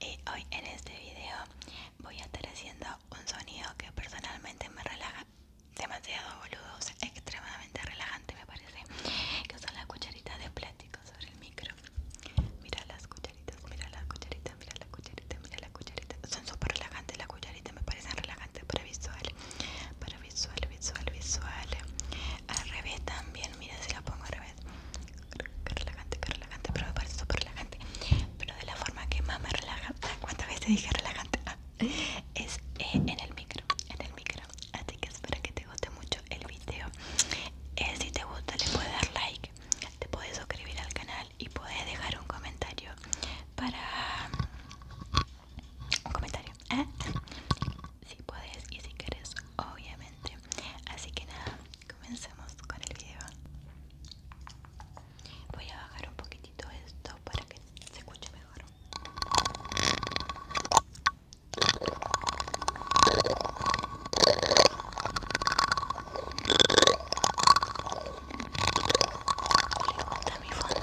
y hoy en este video voy a estar haciendo un sonido que personalmente me relaja demasiado boludo, extremadamente relajante me parece que son las cucharitas de plástico sobre el micro mira las cucharitas, mira las cucharitas, mira las cucharitas, mira las cucharitas son súper relajantes las cucharitas, me parecen relajantes para visual para visual, visual, visual al revés también, mira si la pongo al revés relajante, relajante, pero me parece súper Pero de la forma que más me relaja, ah, ¿cuántas veces dije relajante? Ah, es eh, en el micro, en el micro. Así que espero que te guste mucho el video. Eh, si te gusta, le puedes dar like, te puedes suscribir al canal y puedes dejar un comentario para. Un comentario, ¿eh? si puedes y si quieres, obviamente. Así que nada, comencemos con el video. Voy a bajar un poquitito esto para que se escuche mejor. mi fondo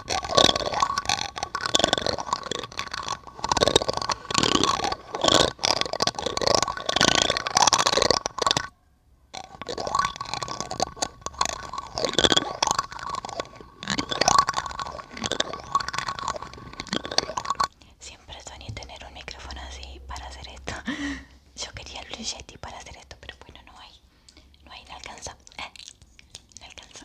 Siempre soñé tener un micrófono así para hacer esto. Yo quería el Blue para hacer esto, pero bueno, no hay. No hay, no alcanza. Eh, no alcanza.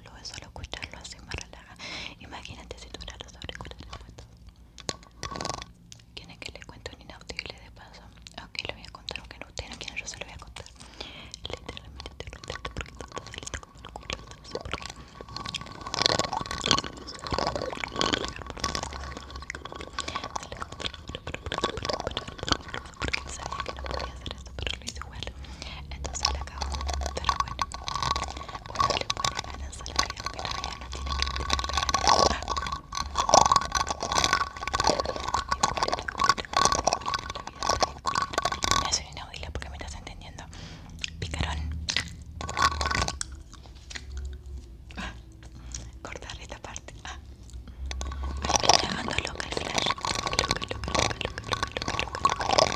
lo voy a solo escucharlo así me relaja. Imagínate si tuviera los auriculares puestos. ¿Quieren que le cuente un inaudible de paso? Ok, le voy a contar, aunque no ustedes no quieran, yo se lo voy a contar. Literalmente, literalmente, porque está salita como el culo, no sé por qué. Porque sabía que no podía hacer esto, pero lo hice igual. Entonces le acabo, pero bueno le la la vida porque me estás entendiendo. Picarón. Cortar esta parte. Ah. me está dejando loca el flash.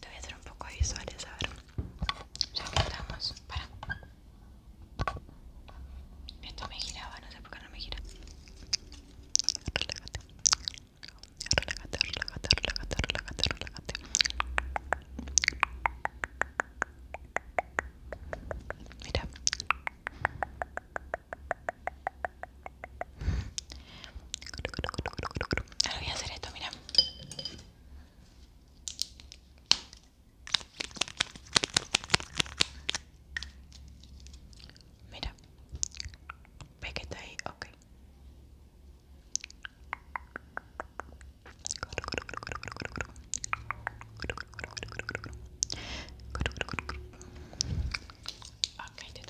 Te voy a hacer un poco de visuales, a ver. Ya Para. Esto me giraba, no sé por qué no me gira. Relájate. Relájate, relájate, relájate, relájate, relájate. Mira. Ahora voy a hacer esto, mira. Mira. ¿Ves que está ahí? Ok. Ok, te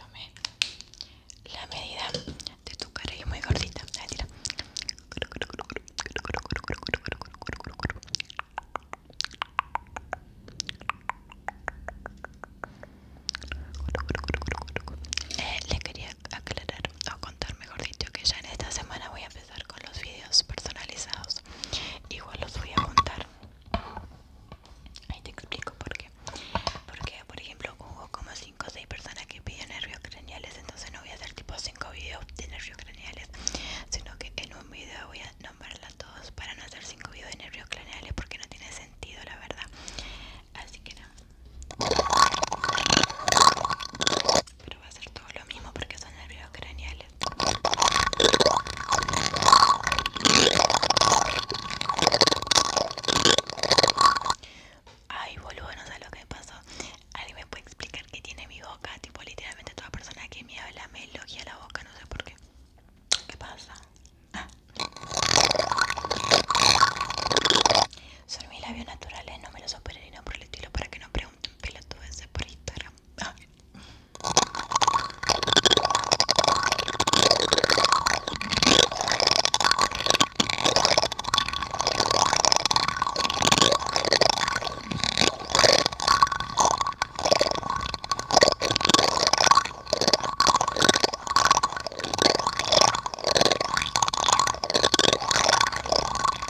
la medida de tu cara muy gordita. Eh, le quería aclarar o contar mejor que ya en esta semana voy a con los vídeos personalizados igual los voy a contar ahí te explico por qué porque por ejemplo hubo como 5 o 6 personas que piden nervios craneales entonces no voy a hacer tipo 5 videos de nervios craneales sino que en un vídeo voy a nombrarlas a todos para no hacer 5 videos de nervios craneales porque no tiene sentido la verdad así que nada no va a ser todo lo mismo porque son nervios craneales. Ay, boludo, no sé lo que pasó. ¿Alguien me puede explicar qué tiene mi boca? Tipo, literalmente toda persona que me habla me elogia la boca, no sé por qué. ¿Qué pasa? Ah. Son mis labios naturales, no me los operé ni no por el estilo para que no pregunten pelotudeces ese Instagram.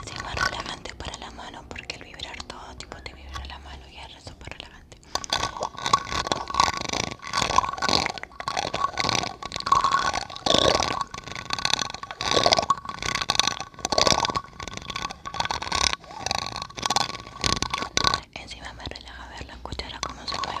Encima relajante para la mano porque el vibrar todo tipo te vibra la mano y el resto para relajante. Encima me relaja ver la cuchara como se mueve,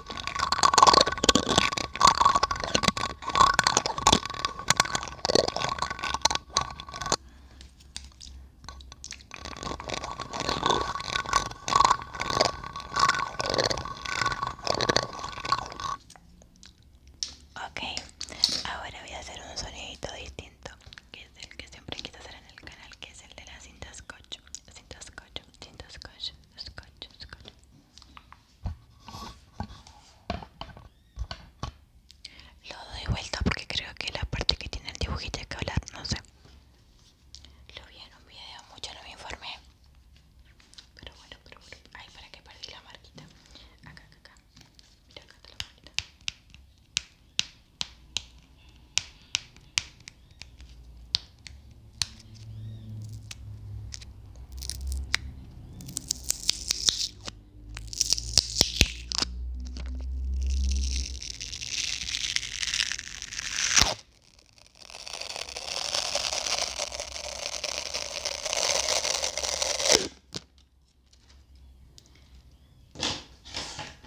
Ok, ahora voy a hacer un sonidito distinto, que es el que siempre quise hacer en el canal, que es el de la cinta scotch, cinta scotch, cinta scotch, scotch, scotch. Lo doy vuelta porque creo que la parte que tiene el dibujito Es que hablar, no sé. Lo vi en un video, mucho no me informé. Pero bueno, pero bueno. Ay, para que perdí la marquita. Acá, acá, acá. Mira, acá está la marquita.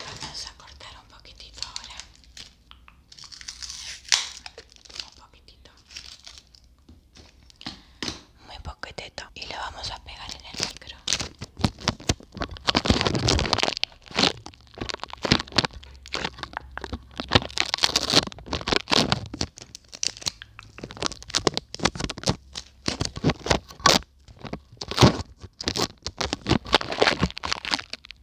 Vamos a cortar un poquitito ahora un poquitito muy poquitito y lo vamos a pegar en el micro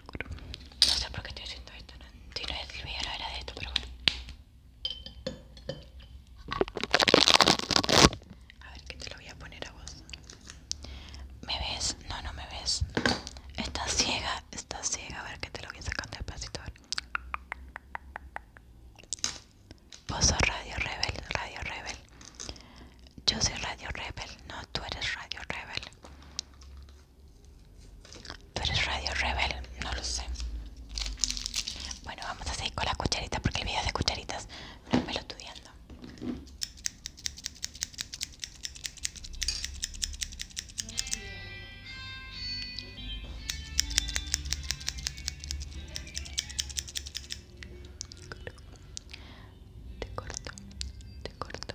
No sé por qué estoy haciendo esto. ¿no? Si no es el video, de esto, pero bueno. A ver, qué te lo voy a poner a vos. ¿Me ves? No, no me ves. Estás ciega, estás ciega. A ver, qué te lo voy a sacar despacito. A ver. Vos sos Radio Rebel, Radio Rebel. Yo soy Radio Rebel, no, tú eres Radio Rebel. Tú eres Radio Rebel, no lo sé. Bueno, vamos a seguir con las cucharitas porque el video de cucharitas no me estudiando. Te corto, te corto,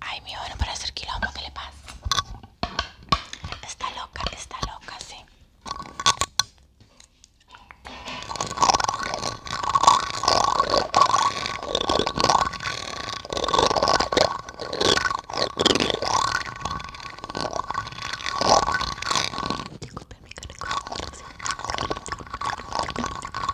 Ay, mi bueno, para hacer quilombo, ¿qué le pasa? Está loca, está loca, sí.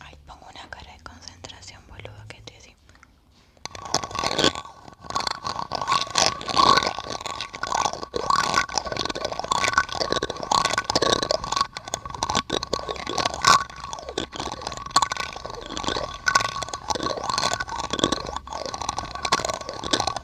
Ay, pongo una cara de concentración, boludo, que te así.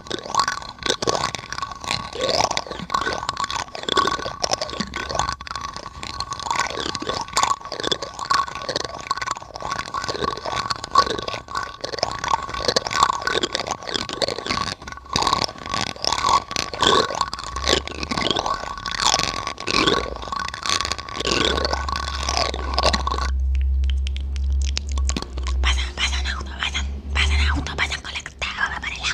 Pasan, pasan auto, pasan, pasan auto, pasan conectado para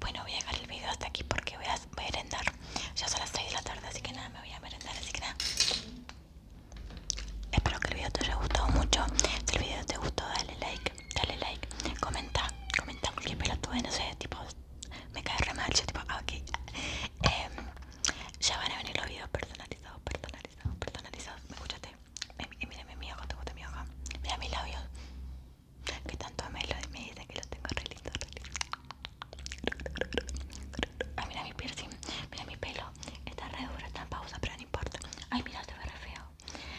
Bueno, voy a dejar el video hasta aquí porque voy a merendar. Ya son las 6 de la tarde, así que nada, me voy a merendar. Así que nada. Espero que el video te haya gustado mucho. Si el video te gustó, dale like, dale like, comenta, comenta pelo tuve, no sé, tipo, me cae re mal, yo tipo, ah, ok. ya em, van a venir los videos personalizados, personalizados, personalizados. ¿Me escuchaste? Mírame eh, mi ojo, te gusta mi ojo. Mira mis labios que tanto me lo me dicen que lo tengo re lindo, re Ay, ah, mira mi piercing, mira mi pelo, está re duro, está en pausa, pero no importa. Ay, mira, se ve re feo.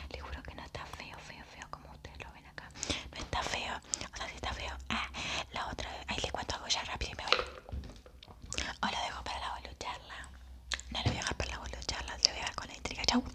Le juro que no está feo, feo, feo como ustedes lo ven acá. No está feo, o sea, sí está feo. Ah, la otra, ahí le cuento algo ya rápido y me voy. O lo dejo para la bolucharla. No lo voy a dejar para la bolucharla, lo voy a dejar con la intriga. Chau.